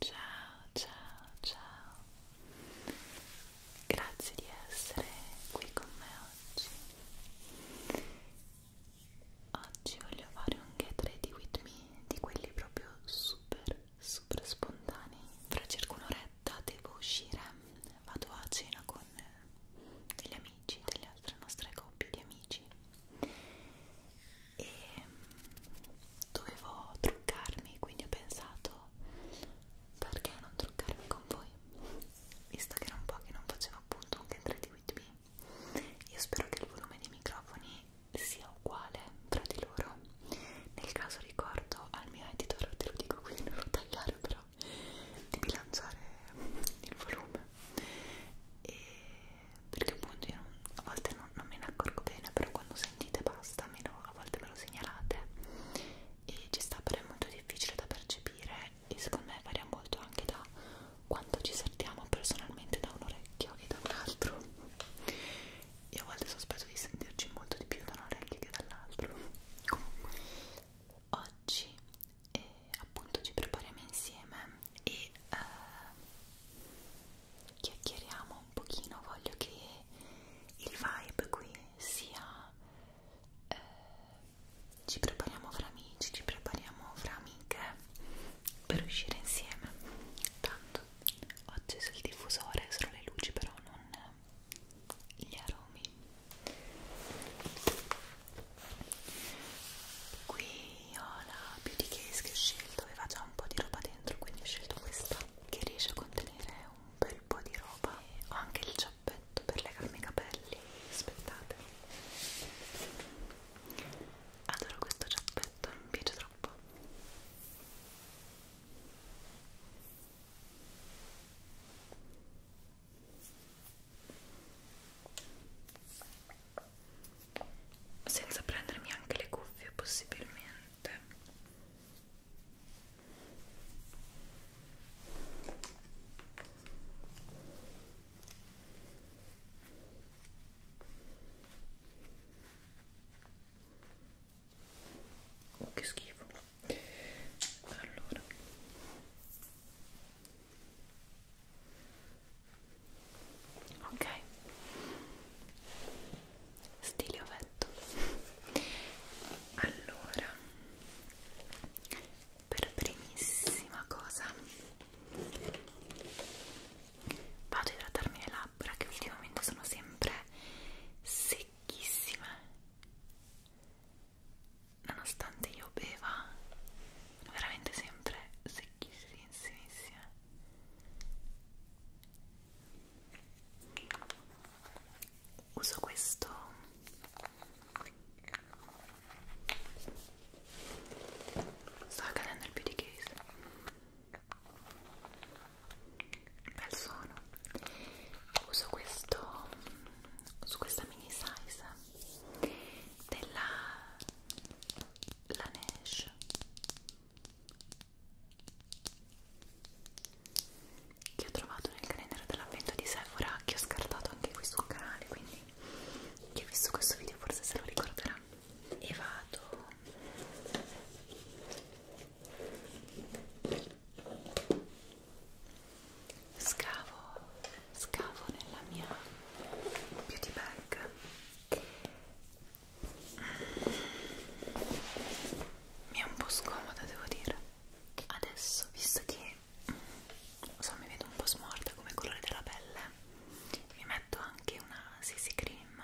Ciao, ciao, ciao. Grazie di essere qui con me oggi. Oggi voglio fare un get ready with me di quelli proprio super, super spontanei. Fra circa un'oretta devo uscire, vado a cena con degli amici, delle altre nostre coppie di amici e dovevo truccarmi quindi ho pensato perché non truccarmi con voi visto che era un po' che non facevo appunto un Get di With Me io spero che il volume dei microfoni sia uguale tra di loro nel caso ricordo al mio editor te lo dico quindi non lo tagliare però di bilanciare il volume e perché appunto io non, a volte non, non me ne accorgo bene però quando sentite basta me lo, a volte me lo segnalate e ci sta però è molto difficile da percepire e secondo me varia molto anche da quanto ci sentiamo personalmente da un orecchio e da un altro e a volte sospetto di sentirci molto di più da un orecchio che dall'altro comunque oggi eh, appunto ci prepariamo insieme e eh, chiacchieriamo un pochino, voglio che il vibe qui sia eh, ci prepariamo fra amici, ci prepariamo fra amiche per uscire insieme. Tanto ho acceso il diffusore, solo le luci però non gli aromi. Qui io la beauty case che ho scelto aveva già un po' di roba dentro quindi ho scelto questa che riesce a contenere un bel po' di roba e ho anche il giappetto per legarmi i capelli aspettate adoro questo giappetto, mi piace troppo senza prendermi anche le cuffie possibilmente oh che schifo allora ok stile ovetto allora per primissima cosa vado a idratarmi le labbra che ultimamente sono sempre secchissime nonostante io beva veramente sempre secchissime benissimo insieme uso questo sta cadendo il beauty case bel suono uso questo su questa mini size della Laneige che ho trovato nel calendario dell'avvento di Sephora che ho scartato anche qui sul canale quindi chi ha visto questo video forse se lo ricorderà e vado scavo scavo nella mia beauty bag mi è un po' scomoda devo dire adesso visto che so, mi vedo un po' smorta come colore della pelle mi metto anche una CC cream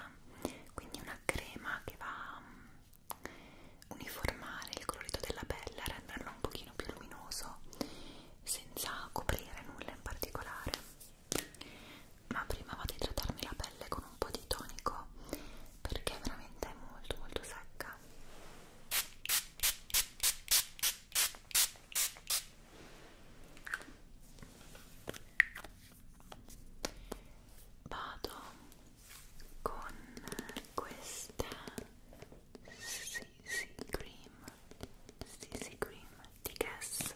quindi una crema che va a mm, uniformare il colorito della pelle a renderlo un pochino più luminoso senza coprire nulla in particolare ma prima vado a trattarmi la pelle con un po' di tonico perché è veramente è molto molto secca vado con questa CC Cream CC Cream di Guess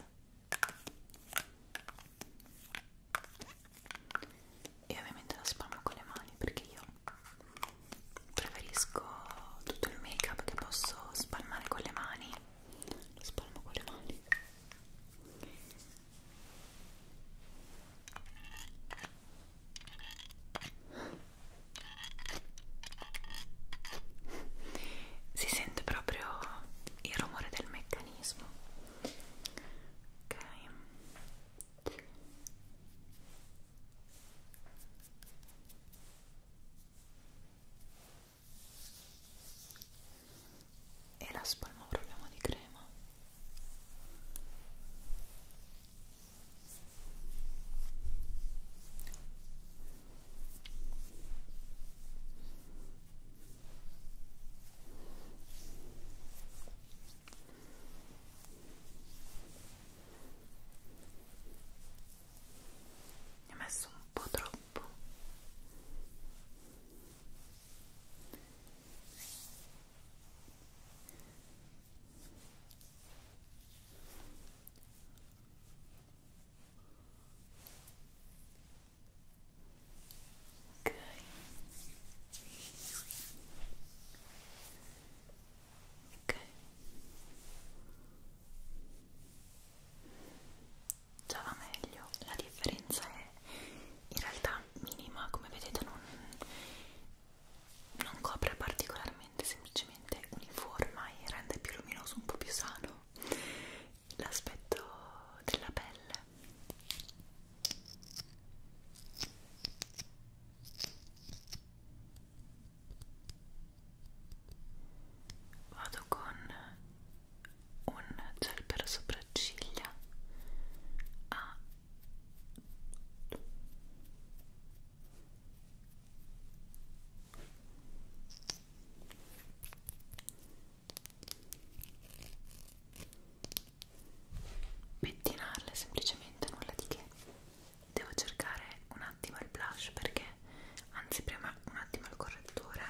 e ovviamente la spalmo con le mani perché io preferisco tutto il make up che posso spalmare con le mani lo spalmo con le mani si sente proprio il rumore del meccanismo ok e la spalma proviamo di crema ne ho messo un po' troppo ok ok già va meglio la differenza è in realtà minima come vedete non, non copre particolarmente semplicemente uniforma e rende più luminoso un po' più sano l'aspetto della pelle vado con un gel per sopracciglia a pettinarle semplicemente nulla di che devo cercare un attimo il blush perché anzi prima un attimo il correttore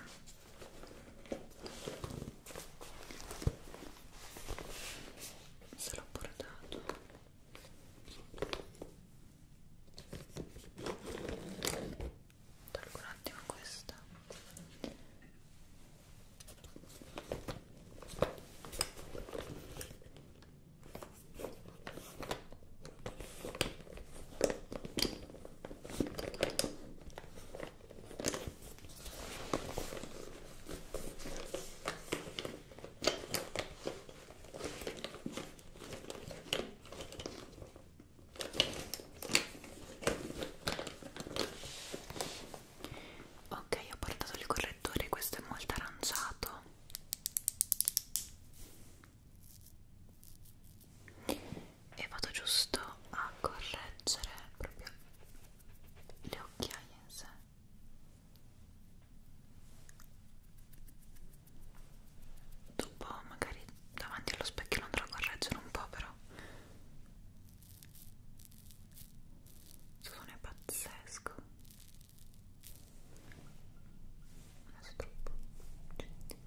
se l'ho portato tolgo un attimo questa Ok, ho portato il correttore, questo è molto aranciato. E vado giusto a correggere proprio le occhiaie in sé dopo magari davanti allo specchio lo andrò a correggere un po' però il suono è pazzesco adesso troppo gente.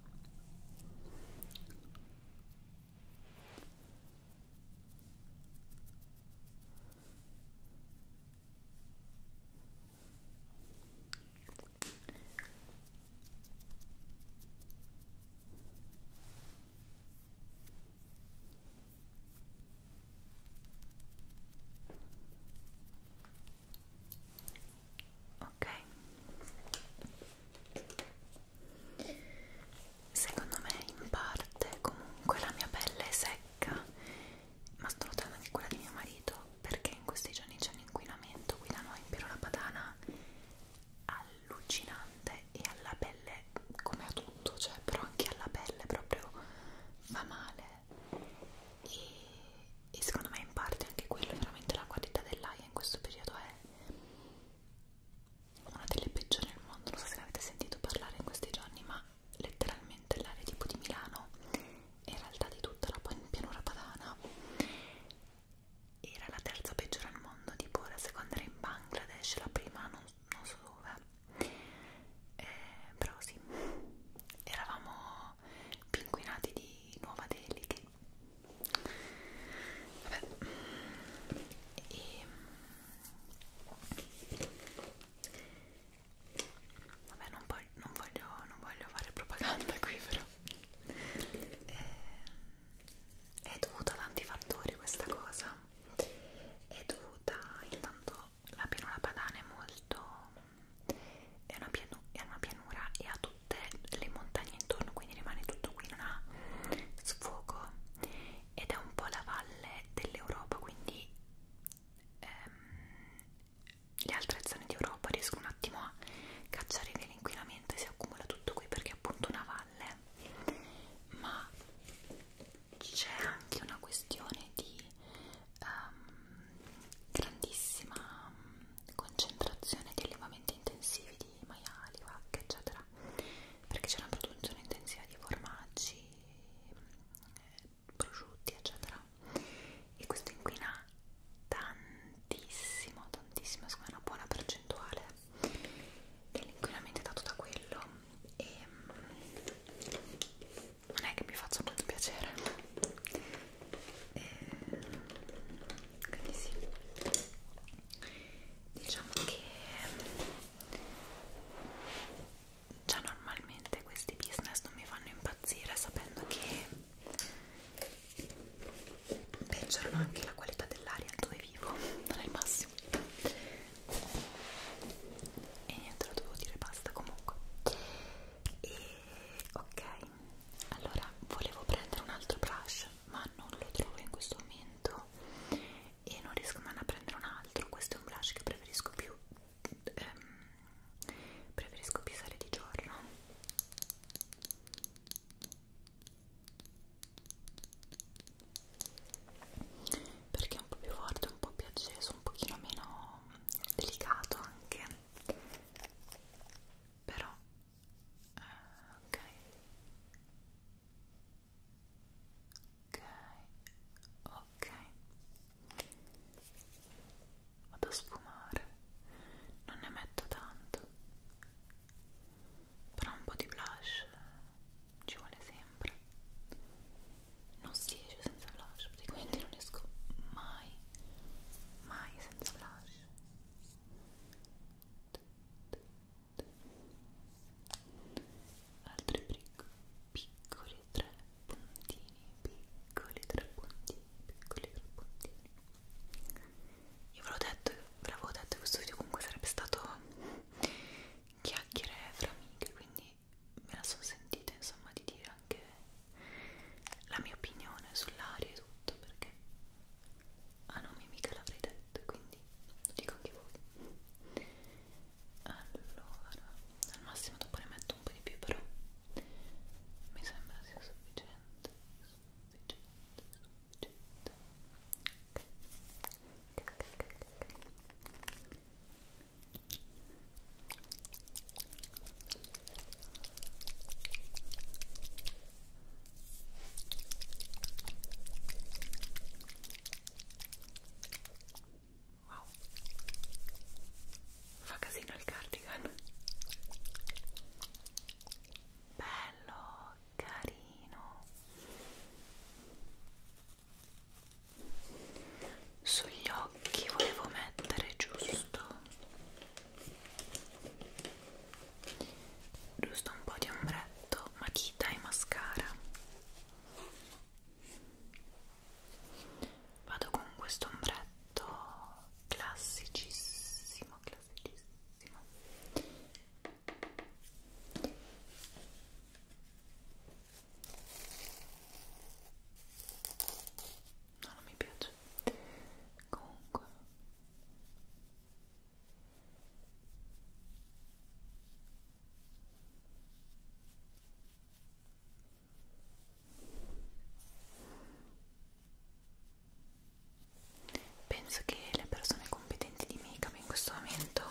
Ok. Secondo me in parte comunque la mia pelle è secca, ma sto notando anche quella di mio marito perché in questi giorni c'è un inquinamento qui da noi in Piero la Padana allucinante e alla pelle come a tutto, cioè però anche alla pelle proprio fa male e, e secondo me in parte anche quello veramente la qualità dell'aria in questo periodo è una delle peggiori al mondo, non so se ne avete sentito parlare in questi giorni ma letteralmente l'area tipo di Milano e in realtà di tutta la pianura padana era la terza peggiore al mondo, tipo la seconda era in Bangladesh, la prima non, non so dove, eh, però sì, eravamo pinguinati di Nuova Delhi che... Vabbè. E... Vabbè, non voglio, non voglio, non voglio fare propaganda qui, però eh, è dovuta a tanti fattori questa cosa è dovuta intanto la pianura padana è molto è una, pianu è una pianura e ha tutte le montagne intorno quindi rimane tutto qui non ha sfogo ed è un po' la valle dell'Europa quindi ehm, le altre zone d'Europa riesco un attimo a cacciare via l'inquinamento e si accumula tutto qui perché è appunto una valle ma c'è anche una questione di um, grandissima concentrazione di allevamenti intensivi di maiali, vacche eccetera perché c'è una produzione intensiva di formaggi eh, prosciutti eccetera e questo inquina tanto tantissimo, tantissimo, secondo me una buona percentuale dell'inquinamento è dato da quello e mm, non è che mi faccia molto piacere e, quindi sì diciamo che mm, già normalmente questi business non mi fanno impazzire sapendo che peggiorano anche la qualità dell'aria dove vivo, non è il massimo e niente, lo dovevo dire basta comunque e ok, allora volevo prendere un altro brush ma non lo trovo in questo momento e non riesco mai a prendere un altro questo è un brush che preferisco più ehm, preferisco più usare di giorno perché è un po' più forte, un po' più acceso, un pochino meno delicato anche però eh, ok ok ok vado a sfumare non ne metto tanto però un po' di blush ci vuole sempre non si esce senza blush praticamente non esco mai mai senza blush altri piccoli tre puntini piccoli tre puntini piccoli trapuntini io ve l'ho detto, ve l'avevo detto che questo video comunque sarebbe stato chiacchiere fra amiche quindi me la sono sentita insomma di dire anche la mia opinione sull'aria e tutto perché a ah, nome mica l'avrei detto quindi lo dico anche voi allora al massimo dopo ne metto un po' di più però mi sembra sia sufficiente Wow, fa casino il cardigan bello carino sugli occhi volevo mettere giusto giusto un po' di ombretto matita e mascara vado con questo ombretto classicissimo rilassatissimo no, non mi piace comunque Penso che le persone competenti di make-up in questo momento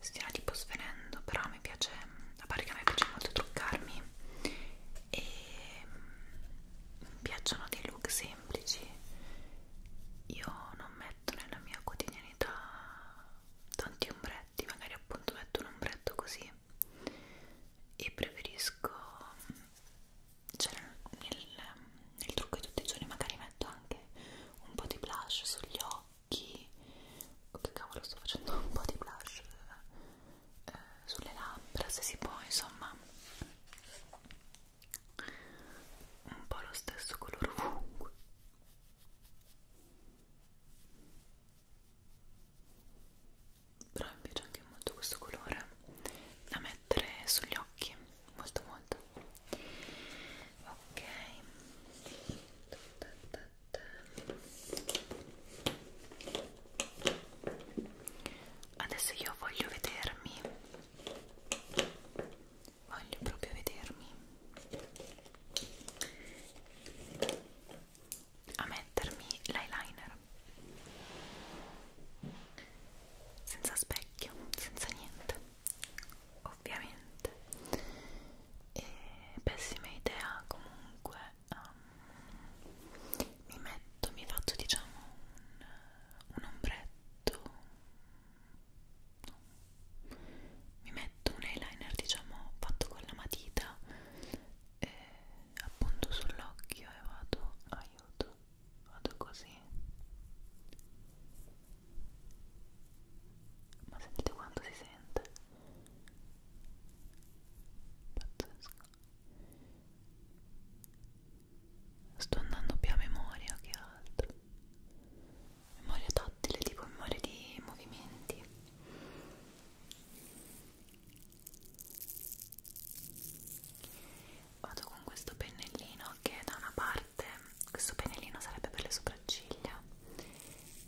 stiano tipo svenendo, però a me piace, a parte che a me piace molto truccarmi e mi piacciono dei look semplici. Io non metto nella mia quotidianità tanti ombretti, magari appunto metto un ombretto così e preferisco cioè nel, nel trucco di tutti i giorni magari metto anche un po' di blush sugli occhi oh, che cavolo sto facendo un po' di blush eh, sulle labbra se si può insomma un po' lo stesso colore ovunque però mi piace anche molto questo colore da mettere sugli occhi molto molto ok adesso io voglio vedermi voglio proprio vedermi a mettermi l'eyeliner senza specchio, senza niente ovviamente e pessima idea comunque um, mi metto, mi faccio diciamo un, un ombretto no. mi metto un eyeliner diciamo fatto con la matita e appunto sull'occhio e vado a aiuto vado così ma sentite quanto si sente pazzesco sto andando più a memoria che altro memoria tattile tipo memoria di movimenti vado con questo pennellino che da una parte questo pennellino sarebbe per le sopracciglia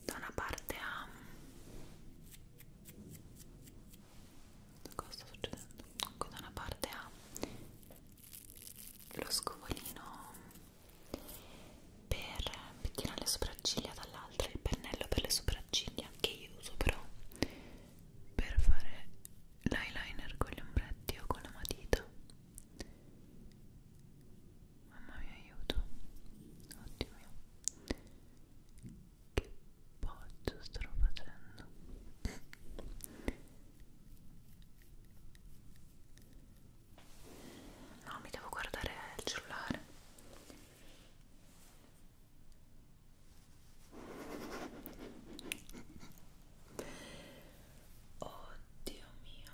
da una parte ha cosa sta succedendo? Ecco, da una parte ha lo scovolino per pettinare le sopracciglia dall'altra il pennello per le sopracciglia che io uso però per fare l'eyeliner con gli ombretti o con la matita mamma mia aiuto oddio mio che poggio sto facendo no mi devo guardare il cellulare Oh Dio mio.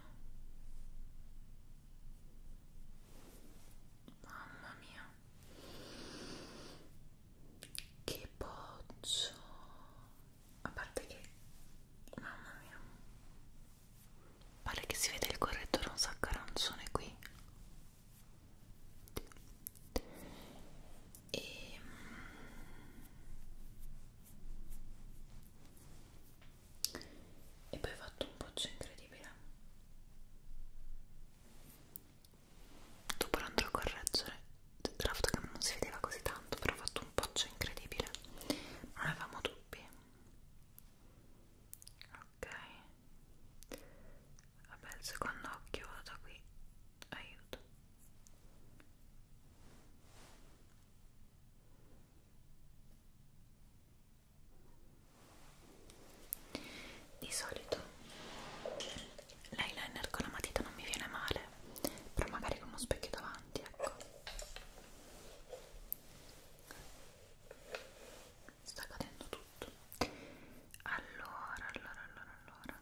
Mamma mia. Che boccio. A parte che mamma mia. Pare che si vede il correttore un sacco arancione qui e e poi ho fatto un pozzo incredibile dopo l'andrò a correggere la fotocamera non si vedeva così tanto però ho fatto un pozzo incredibile non avevamo dubbi ok Vabbè, il secondo occhio da qui. Aiuto. Di solito l'eyeliner con la matita non mi viene male, però magari con uno specchio davanti, ecco. Sta cadendo tutto. Allora, allora, allora, allora.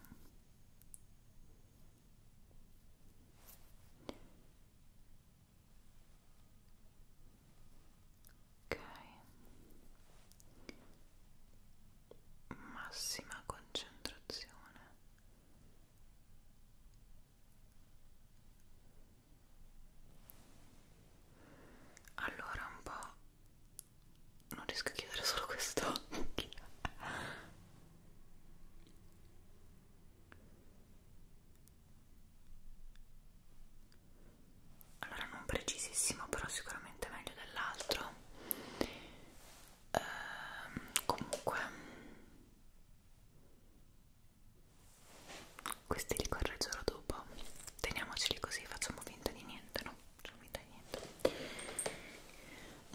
Ok. Massima concentrazione. Allora un po' non riesco a chiudere solo quest'occhio allora non precisissimo però sicuramente meglio dell'altro ehm, comunque questi li correggerò dopo teniamoceli così facciamo finta di niente no? no, non mi dai niente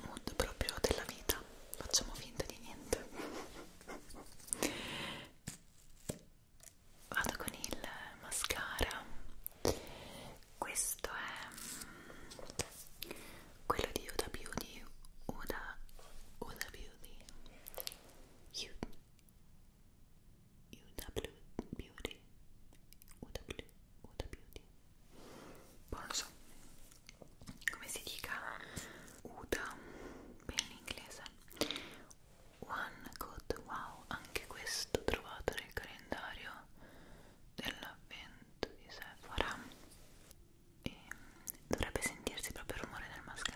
mood proprio della vita facciamo finta di niente vado con il mascara questo è mm, quello di Huda Beauty Huda, Huda Beauty Huda UW Beauty UW, UW Beauty Poi non so come si dica UDA per l'inglese One Code Wow anche questo trovato nel calendario dell'avvento di Sephora e dovrebbe sentirsi proprio il rumore del mascara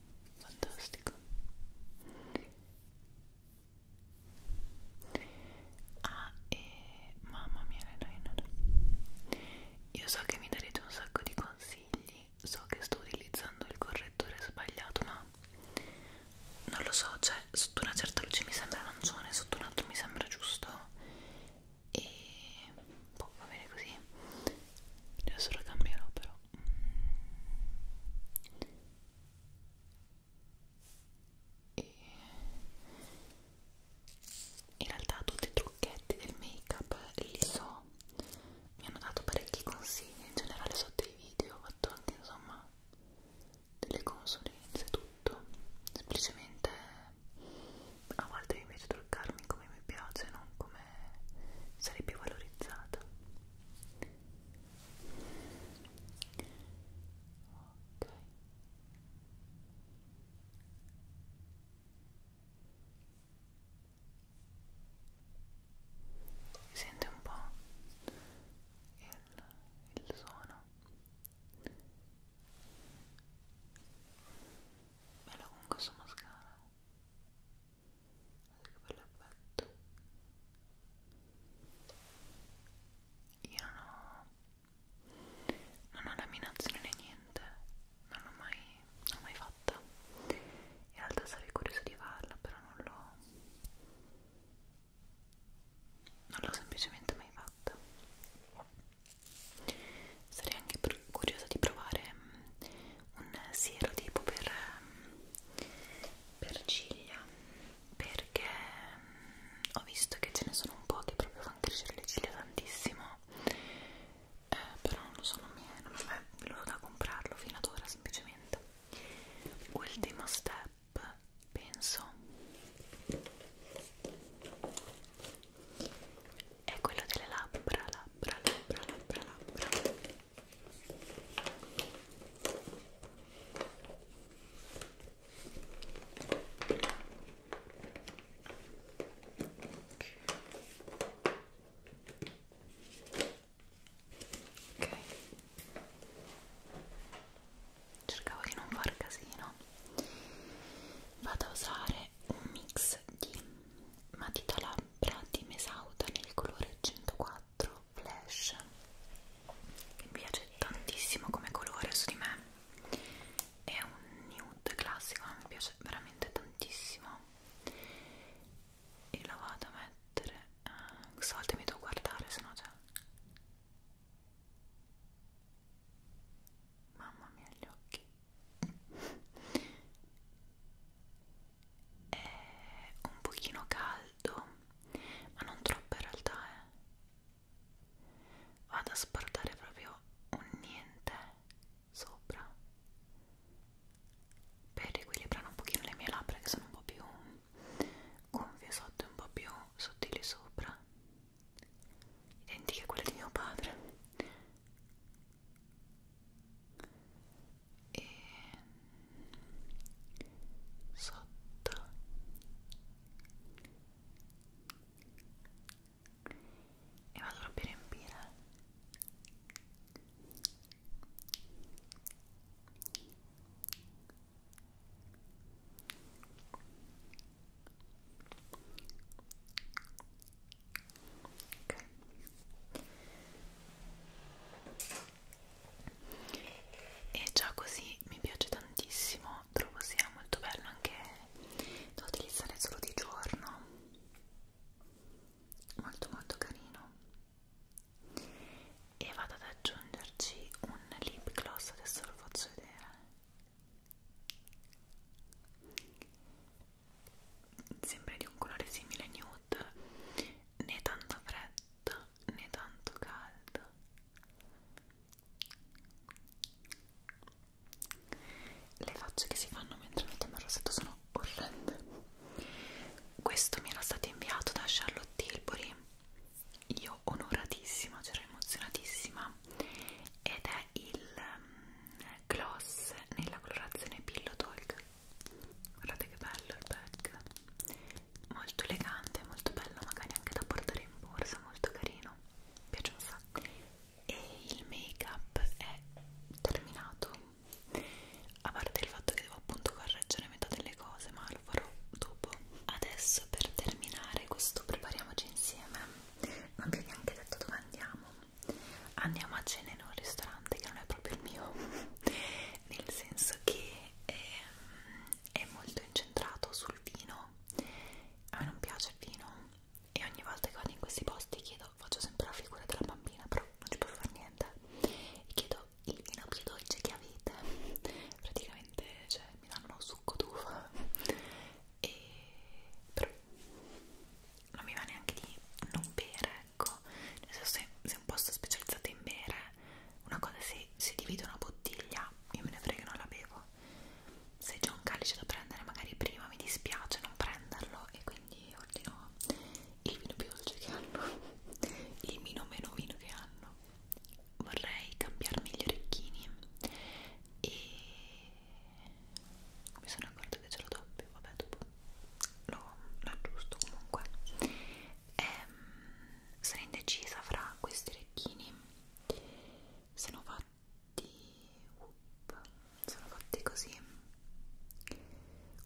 fantastico ah e mamma mia Renainer io so che mi darete un sacco di consigli so che sto utilizzando il correttore sbagliato ma non lo so cioè sotto una certa luce mi sembra arancione sotto un'altra mi sembra giusto e boh, va bene così adesso lo cambierò però e in realtà tutti i trucchetti del make up li so mi hanno dato parecchi consigli in generale sotto i video ho fatto anche insomma delle consulenze tutto semplicemente a volte mi piace truccarmi come mi piace non come me sarei più valorizzata ok sente un po' il, il suono bello con questo mascara che bell'effetto io non ho non ho laminazione né niente non l'ho mai, non l'ho mai fatta in realtà sarei curiosa di farla però non l'ho non l'ho semplicemente mai fatta sarei anche curiosa di provare mm, un siero tipo per, per ciglia perché mm, ho visto che ce ne sono un po' che proprio fanno crescere le ciglia tantissimo eh, però non lo so, non mi è venuto da comprarlo fino ad ora semplicemente ultimo step penso è quello delle labbra, labbra, labbra, labbra, labbra Ok, cercavo di non far casino. Vado a usare un mix di matita lab labbra di Mesauda nel colore 104 Flash mi piace tantissimo come colore su di me è un nude classico mi piace veramente tantissimo e la vado a mettere uh, questa volta mi devo guardare se no già mamma mia gli occhi è un pochino caldo ma non troppo in realtà eh. vado a sportare proprio un niente sopra per riequilibrare un pochino le mie labbra che sono un po' più gonfie sotto e un po' più sottili sopra identiche a quelle di mio padre e sotto e vado proprio a riempire e Okay. E già così mi piace tantissimo, trovo sia molto bello anche da utilizzare solo di giorno, molto molto carino. E vado ad aggiungerci un lip gloss, adesso lo faccio vedere sempre di un colore simile nude né tanta fredda né tanto calda le facce che si fanno mentre mettiamo il rossetto sono orrende questo mi era stato inviato da Charlotte Tilbury io onoratissima, c'ero cioè emozionatissima ed è il um, gloss nella colorazione Pillow Talk guardate che bello il bag molto elegante molto bello magari anche da portare in borsa molto carino mi piace un sacco e il make up è terminato a parte il fatto che devo appunto correggere metà delle cose ma lo farò dopo adesso per terminare questo prepariamoci insieme non vi ho neanche detto dove andiamo andiamo a cena in un ristorante che non è proprio il mio nel senso che è, ehm, è molto incentrato sul vino a me non piace il vino e ogni volta che vado in questi posti chiedo faccio sempre la figura della bambina però non ci posso fare niente e chiedo il vino più dolce che avete praticamente cioè, mi danno uno succo d'uva e però non mi va neanche di non bere ecco nel senso se, se un posto è specializzato in bere una cosa se, se divide una bottiglia io me ne frega non la bevo se c'è un calice da prendere magari prima mi dispiace non prenderlo e quindi ordino il vino più dolce che hanno il vino meno vino che hanno vorrei cambiarmi gli orecchini e mi sono accorta che ce l'ho doppio vabbè dopo lo, lo aggiusto comunque e, ehm, sono indecisa fra questi orecchini sono fatti up, sono fatti così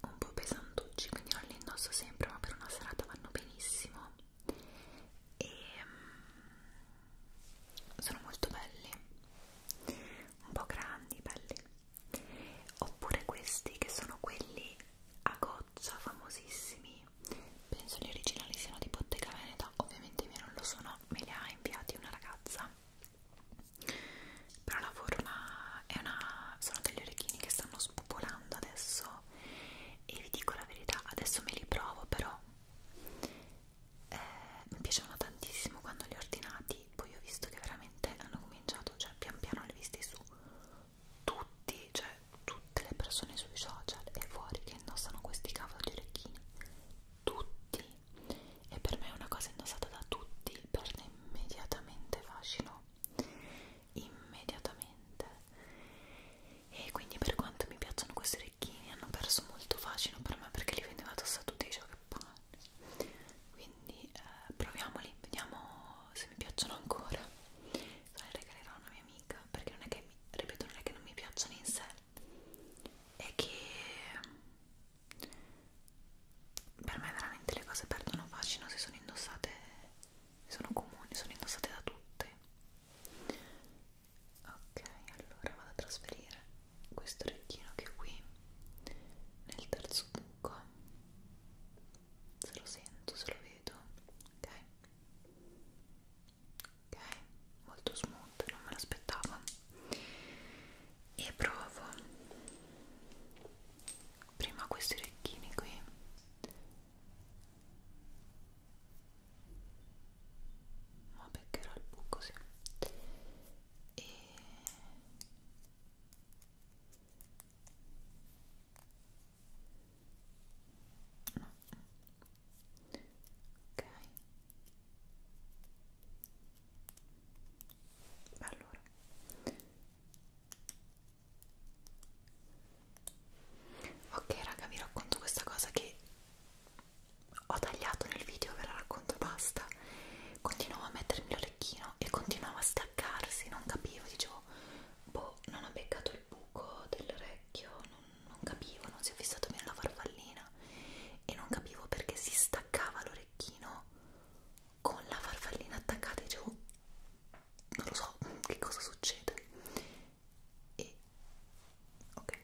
un po' pesantucci quindi non li indosso sempre ma per una serata vanno benissimo e ehm, sono molto belli un po' grandi belli oppure questi che sono quelli a goccia famosissimi penso gli originali siano di Bottega Veneta ovviamente io non lo sono me li ha inviati una ragazza però la forma è una sono degli orecchini che stanno spopolando adesso e vi dico la verità adesso me li provo però eh, mi piacevano tantissimo quando li ho ordinati poi, poi ho visto che veramente hanno cominciato, cioè pian piano le viste su tutti, cioè tutte le persone sui social e fuori che indossano questi cavolo di orecchini, tutti, e per me è una cosa indossata da tutti, perde immediatamente fascino, immediatamente, e quindi per quanto mi piacciono questi orecchini hanno perso molto fascino per me perché li vedevo addosso a tutti i giochi, anni quindi eh, proviamoli vediamo se mi piacciono ancora se li regalerò a una mia amica perché non è che mi, ripeto non è che non mi piacciono in sé è che per me veramente le cose perdono fascino se sono indossate se sono comuni sono indossate da tutte ok allora vado a trasferire questo orecchino che qui nel terzo buco se lo sento, se lo vedo ok ok, molto smooth, non me l'aspettavo e provo prima questi orecchini qui ma beccherò il buco sì e no. ok allora ok raga vi racconto questa cosa che ho tagliato nel video ve la racconto basta continuavo a mettermi l'orecchino e continuava a staccarsi, non capivo, dicevo, boh, non ho beccato il buco dell'orecchio, non, non capivo, non si è fissato bene la farfallina e non capivo perché si staccava l'orecchino con la farfallina attaccata, dicevo, non lo so che cosa succede e ok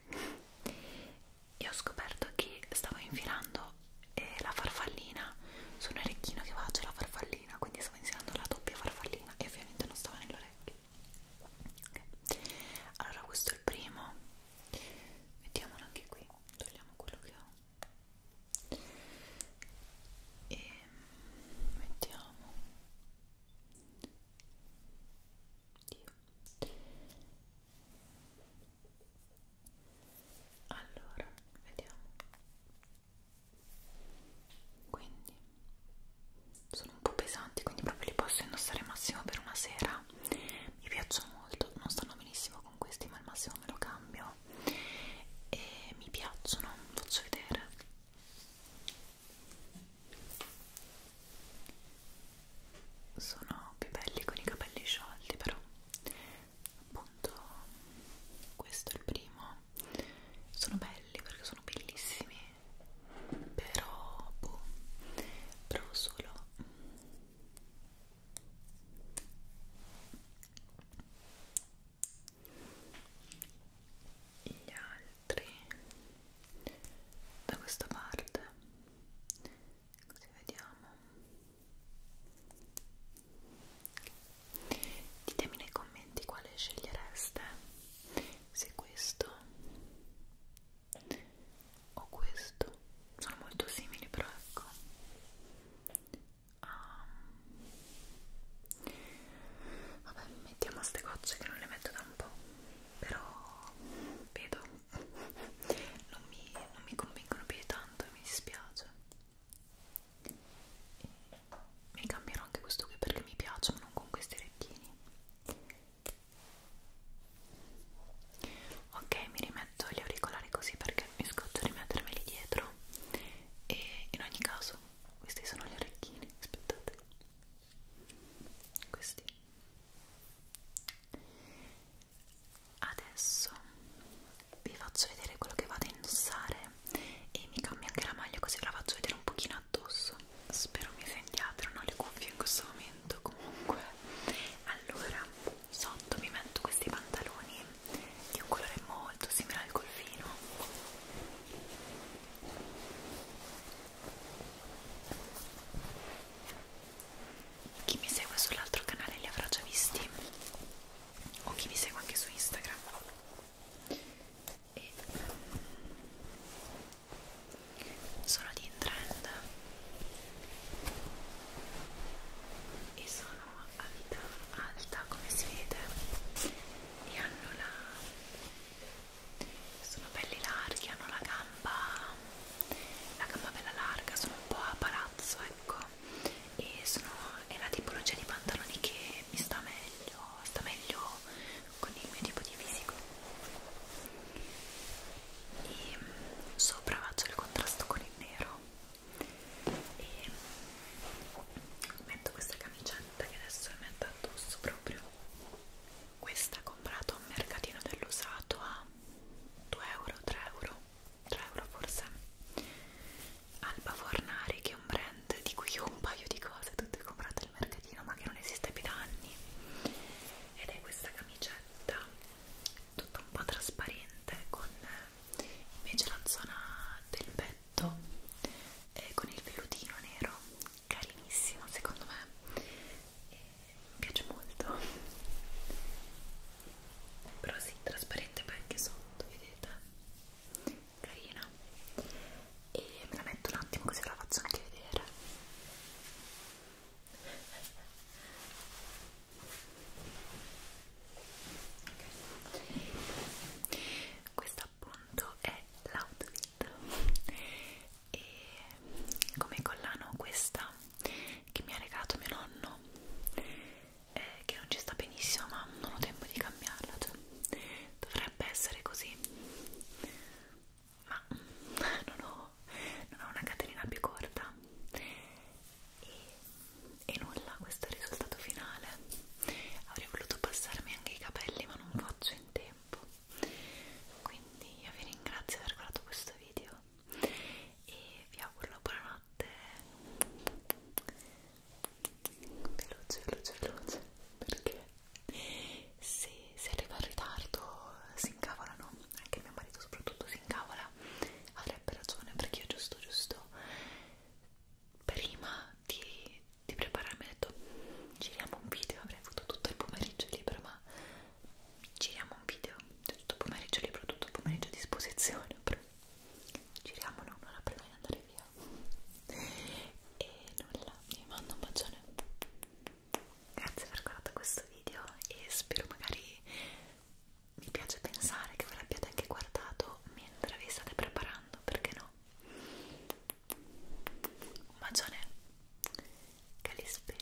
e ho scoperto che stavo infilando e la farfallina su un orecchino che faccio la farfallina quindi stavo inserendo la doppia farfallina e ovviamente non stava nell'orecchio okay. allora questo è il primo mettiamolo anche qui togliamo quello che ho e mettiamo Dio allora vediamo quindi sono un po' pesanti quindi proprio li posso indossare massimo per una sera mi piacciono molto non stanno benissimo con questi ma al massimo me lo cambio e mi piacciono faccio vedere sono più belli con i capelli sciolti però appunto questo è il primo sono belli perché sono bellissimi però boh provo solo gli altri da questa parte così vediamo Ditemi nei commenti quale scegliereste, se questo o questo. Sono molto simili, però ecco. Um. Vabbè, mettiamo ste gocce che non le metto da un po', però vedo. Non mi, non mi convincono più tanto e mi dispiace e mi cambierò anche questo qui perché mi piace ma non con questi orecchini ok mi rimetto gli auricolari così perché mi scoccio di mettermeli dietro e in ogni caso questi sono gli orecchini aspettate questi adesso vi faccio vedere quello che vado a indossare e mi cambio anche la maglia così la faccio vedere un pochino addosso spero mi sentiate non ho le cuffie in questo momento comunque allora sotto mi metto questi pantaloni di un colore molto simile al golfino chi mi segue sull'altro canale li avrà già visti o chi mi segue anche su Instagram e mm, sono di in trend e sono a vita alta come si vede e hanno la sono belli larghi hanno la gamba la gamba bella larga sono un po' a palazzo ecco e sono, è la tipologia di pantaloni che mi sta meglio, sta meglio con il mio tipo di fisico e mm, sopra faccio il contrasto con il nero e metto questa camicetta che adesso è metta addosso proprio questa comprata a un mercatino dell'usato a 2 euro 3 euro 3 euro forse Alba Fornari che è un brand di cui ho un paio di cose tutte comprate al mercatino ma che non esiste più da anni ed è questa camicetta tutta un po' trasparente con invece la zona del petto eh, con il velutino nero carinissimo secondo me e mi piace molto però sì, trasparente poi anche sotto, vedete? Carina. E me la metto un attimo così ve la faccio anche vedere. Okay. Questa appunto è l'outfit e come collana questa che mi ha regalato mio nonno eh, che non ci sta benissimo ma non ho tempo di cambiarla cioè, dovrebbe essere così ma non ho, non ho una catenina più corta e, e nulla, questo è il risultato finale avrei voluto passarmi anche i capelli ma non faccio in tempo quindi io vi ringrazio per aver guardato questo video e vi auguro la buonanotte veloce veloce veloce perché se, se arriva in ritardo si incavolano anche mio marito soprattutto si incavola avrebbe ragione perché io giusto giusto prima di, di prepararmi ho detto giriamo un video avrei avuto tutto il pomeriggio libero ma giriamo giriamo un video cioè, tutto pomeriggio libro, tutto pomeriggio a disposizione però giriamolo un'ora prima di andare via e nulla, vi mando un bacione grazie per aver guardato questo video e spero magari mi piace pensare che ve l'abbiate anche guardato mentre vi state preparando, perché no? Un bacione che li spera